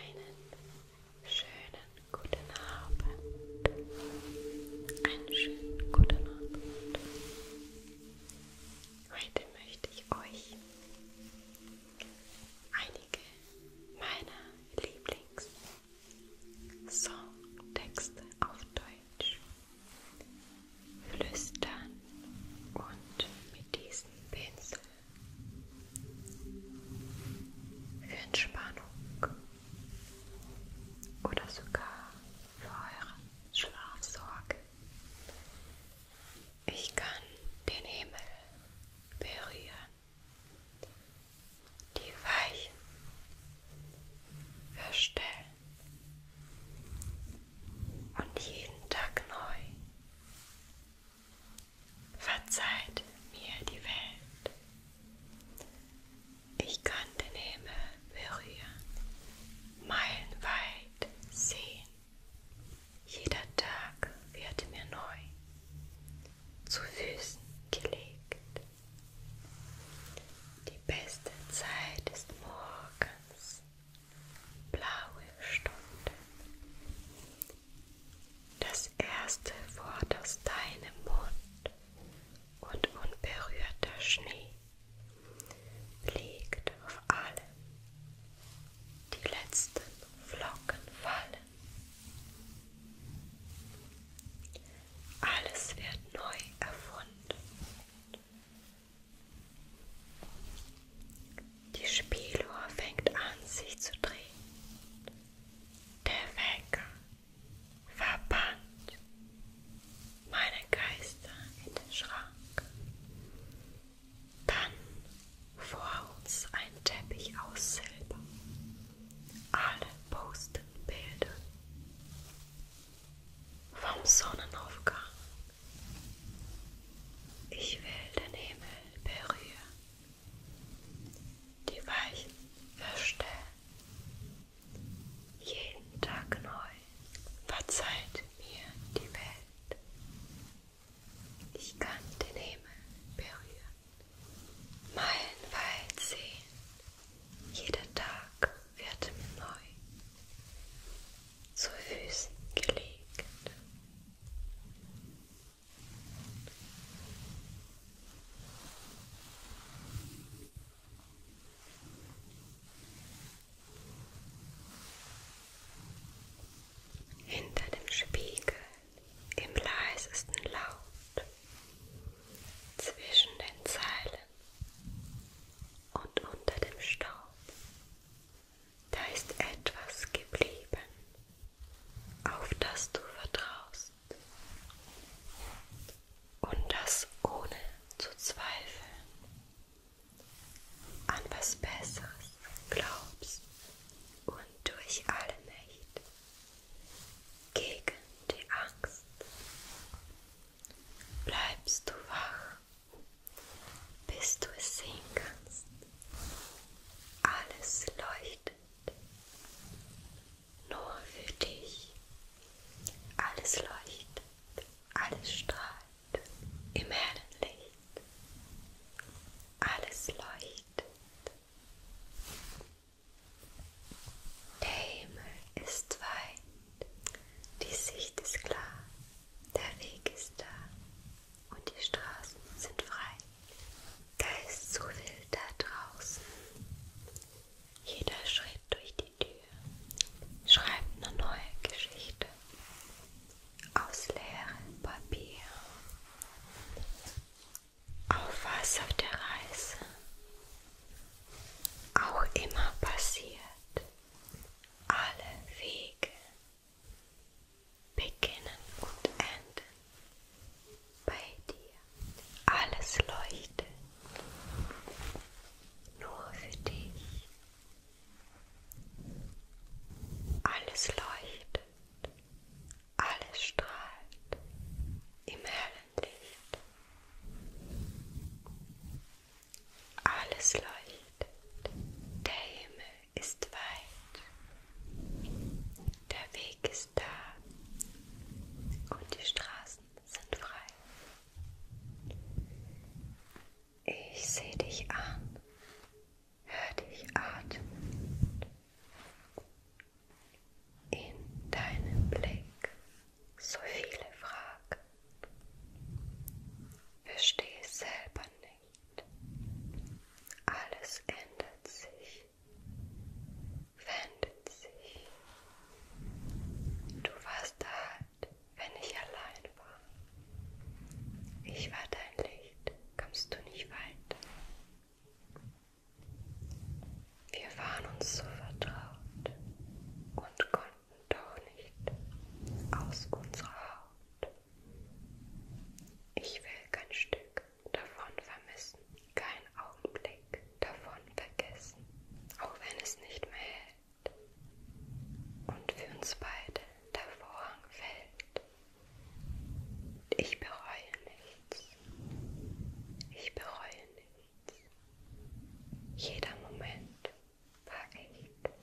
Einen schönen guten Abend. Einen schönen guten Abend. Heute möchte ich euch einige meiner Lieblings Songtexte auf Deutsch flüstern und mit diesem Pinsel für Entspannung oder sogar für eure Schlafsorge. Ich kann den Himmel berühren, die weichen, verstellen und jeden Tag neu. Verzeiht mir die Welt. Ich kann den Himmel berühren, meilenweit sehen. Jeder Tag wird mir neu zu Füßen gelegt. Die beste Zeit ist morgens, blaue Stunde. Das erste Wort aus deinem Mund und unberührter Schnee liegt auf allem. Die letzten Flocken fallen. Alles wird neu erfunden. Die Spieluhr fängt an, sich zu drehen. Der Wecker verbannt meine Geister in den Schrank. Dann vor uns ein Teppich aus Silber. Alle posten Bilder vom Sonnenaufgang. Ich will den Himmel berühren, die weichen Verstellen. Jeden Tag neu verzeiht mir die Welt. Ich kann den Himmel berühren, meilenweit sehen, jeder Tag wird neu zu Füßen gelegt. Hinter dem Spiegel im leisesten Laut, zwischen den Zeilen und unter dem Staub, da ist etwas geblieben, auf das du vertraust und das ohne zu zweifeln an was Besseres glaubst und durch alle Mächte gegen die Angst bleibst du wach, bis du es sehen kannst. Alles leuchtet. Nur für dich. Alles leuchtet. Alles strahlt im Herrenlicht. Alles leuchtet. Der Himmel ist weit die Sicht ist klar, der Weg ist da und die Straßen sind frei. Da ist so viel da draußen. Jeder Schritt durch die Tür schreibt eine neue Geschichte aus leerem Papier. Auf was auf der Reise auch immer passiert. Alle Wege beginnen und enden bei dir. Alles leuchtet nur für dich. Alles leuchtet, alles strahlt im Hellen. Licht. Alles leuchtet. Der Himmel ist weit. Der Weg ist da. Und die Straßen sind frei. Ich sehe dich an. Hör dich atmen. In deinem Blick so viele Fragen. Verstehe es selber nicht. Alles ändert sich, wendet sich. Du warst da halt, wenn ich allein war. Ich war dein Licht, kommst du nicht weiter. Wir waren uns so vertraut und konnten doch nicht aus unserer Haut. Ich will kein Stück davon vermissen, keinen Augenblick davon vergessen, auch wenn es nicht mehr hält und für uns beide der Vorhang fällt. Ich bereue nichts. Ich bereue nichts. Jeder Moment war echt.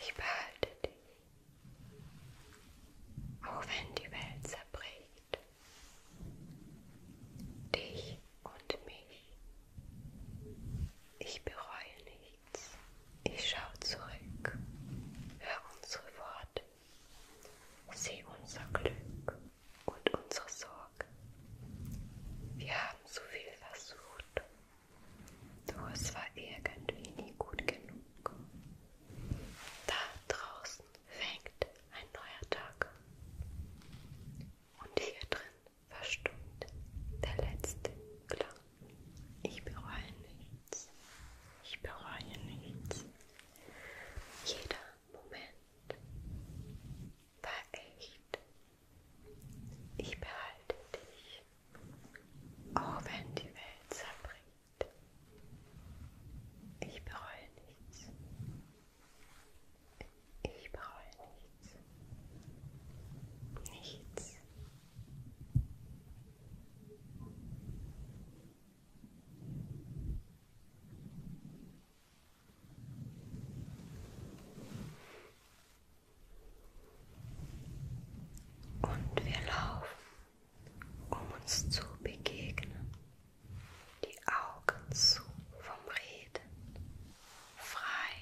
Ich behalte dich, auch wenn die Welt zerbricht. Dich und mich. Ich bereue nichts. Ich schaue zurück, hör unsere Worte, sieh unser Glück und unsere Sorge. Wir haben so viel versucht, doch es war irgendwie nie gut genug. Da draußen fängt ein neuer Tag an und hier drin verstummt der letzte Klang. Ich bereue nichts. Ich bereue nichts. Jeder Moment war echt. Ich behalte dich, auch wenn die Welt zerbricht. Ich bereue nichts. Ich bereue nichts. Nichts. Und wir laufen, um uns zu begegnen, die Augen zu vom Reden, frei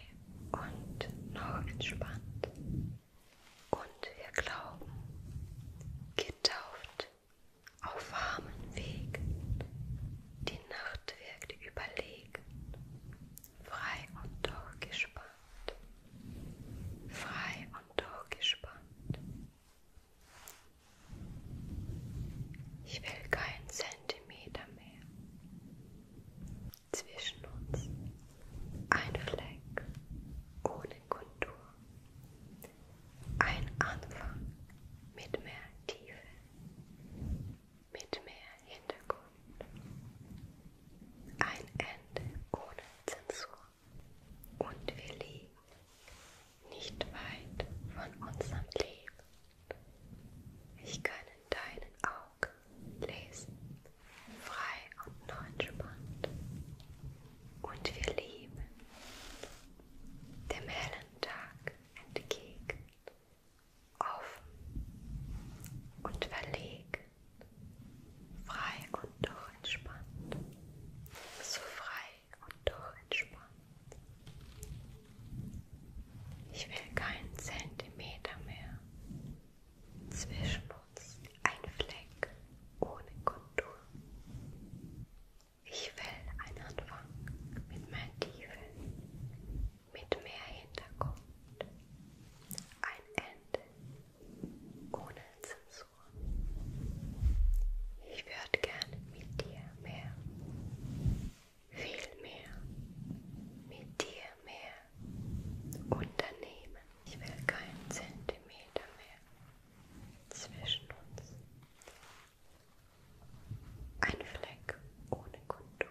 und noch entspannt. Und wir glauben, getauft auf warmen Wegen, die die Nacht wirkt überlegen, frei und durchgespannt, frei und durchgespannt. Ich will keinen Zentimeter mehr zwischen uns, ein Fleck ohne Kontur, ein Anfang mit mehr Tiefe mit mehr Hintergrund. Ein Ende ohne Zensur. Und wir liegen nicht weit von unserem Leben. Ich kann in deinen Augen lesen, frei und neungespannt. Und wir lieben dem hellen Tag entgegen offen und verlegen, frei und doch entspannt, so frei und doch entspannt. Ich will keinen Zentimeter mehr zwischen uns, ein Fleck ohne Kontur. Ich will einen Anfang mit meinen tiefen, mit mehr Hintergrund, ein Ende ohne Zensur. Ich würde gerne mit dir mehr, viel mehr, mit dir mehr unternehmen. Ich will keinen Zentimeter mehr zwischen uns. Ein Fleck ohne Kontur.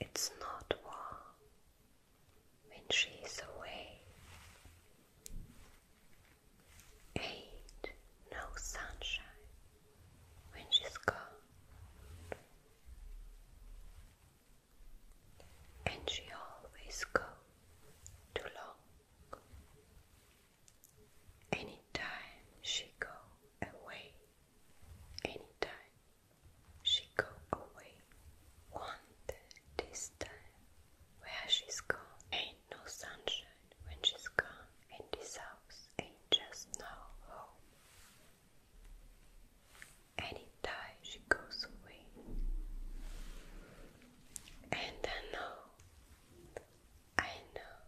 It's not warm when she's away. Ain't no sunshine when she's gone. And she always goes too long. Anytime she go away, anytime she go away. Wonder this time where she's gone. Ain't no sunshine when she's gone, and this house ain't just no home. Any she goes away, and I know, I know,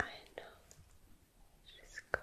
I know she's gone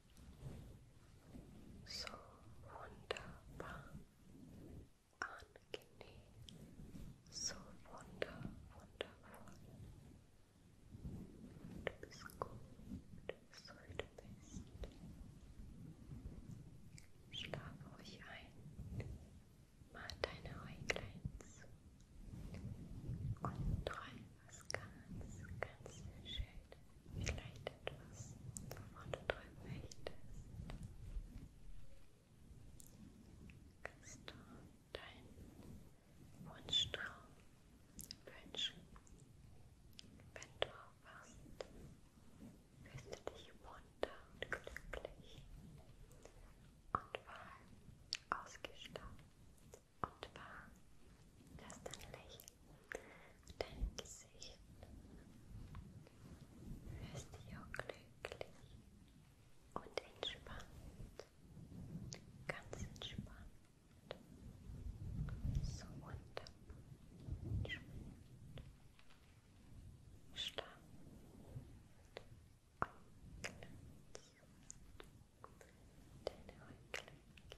so wunderbar angenehm, so wunder, wundervoll. Du bist gut, so wie du bist. Schlaf ruhig ein, mach deine Äuglein zu und träum was ganz, ganz schön vielleicht etwas, wovon du träumen möchtest, kannst du deinen Wunschtraum wünschen. Wenn du aufwachst, fühlst du dich munter und glücklich und warm ausgestattet und warm, dass dein Lächeln dein Gesicht. Fühlst dich auch glücklich und entspannt. Ganz entspannt. So wunderbar. Entspannt. Stark und glänzend. Deine Augen glänzen.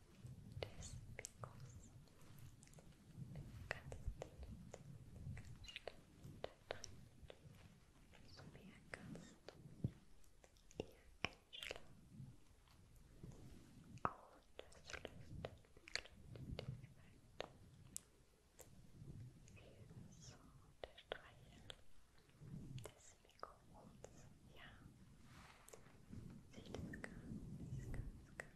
des Pikos. Du kannst den Stand drehen, so mehr kannst du ihr einschlagen. Auch das löst den Blick weiter. Ebenso der Streichel des Mikrofons. Ja, sieht es ganz, ganz, ganz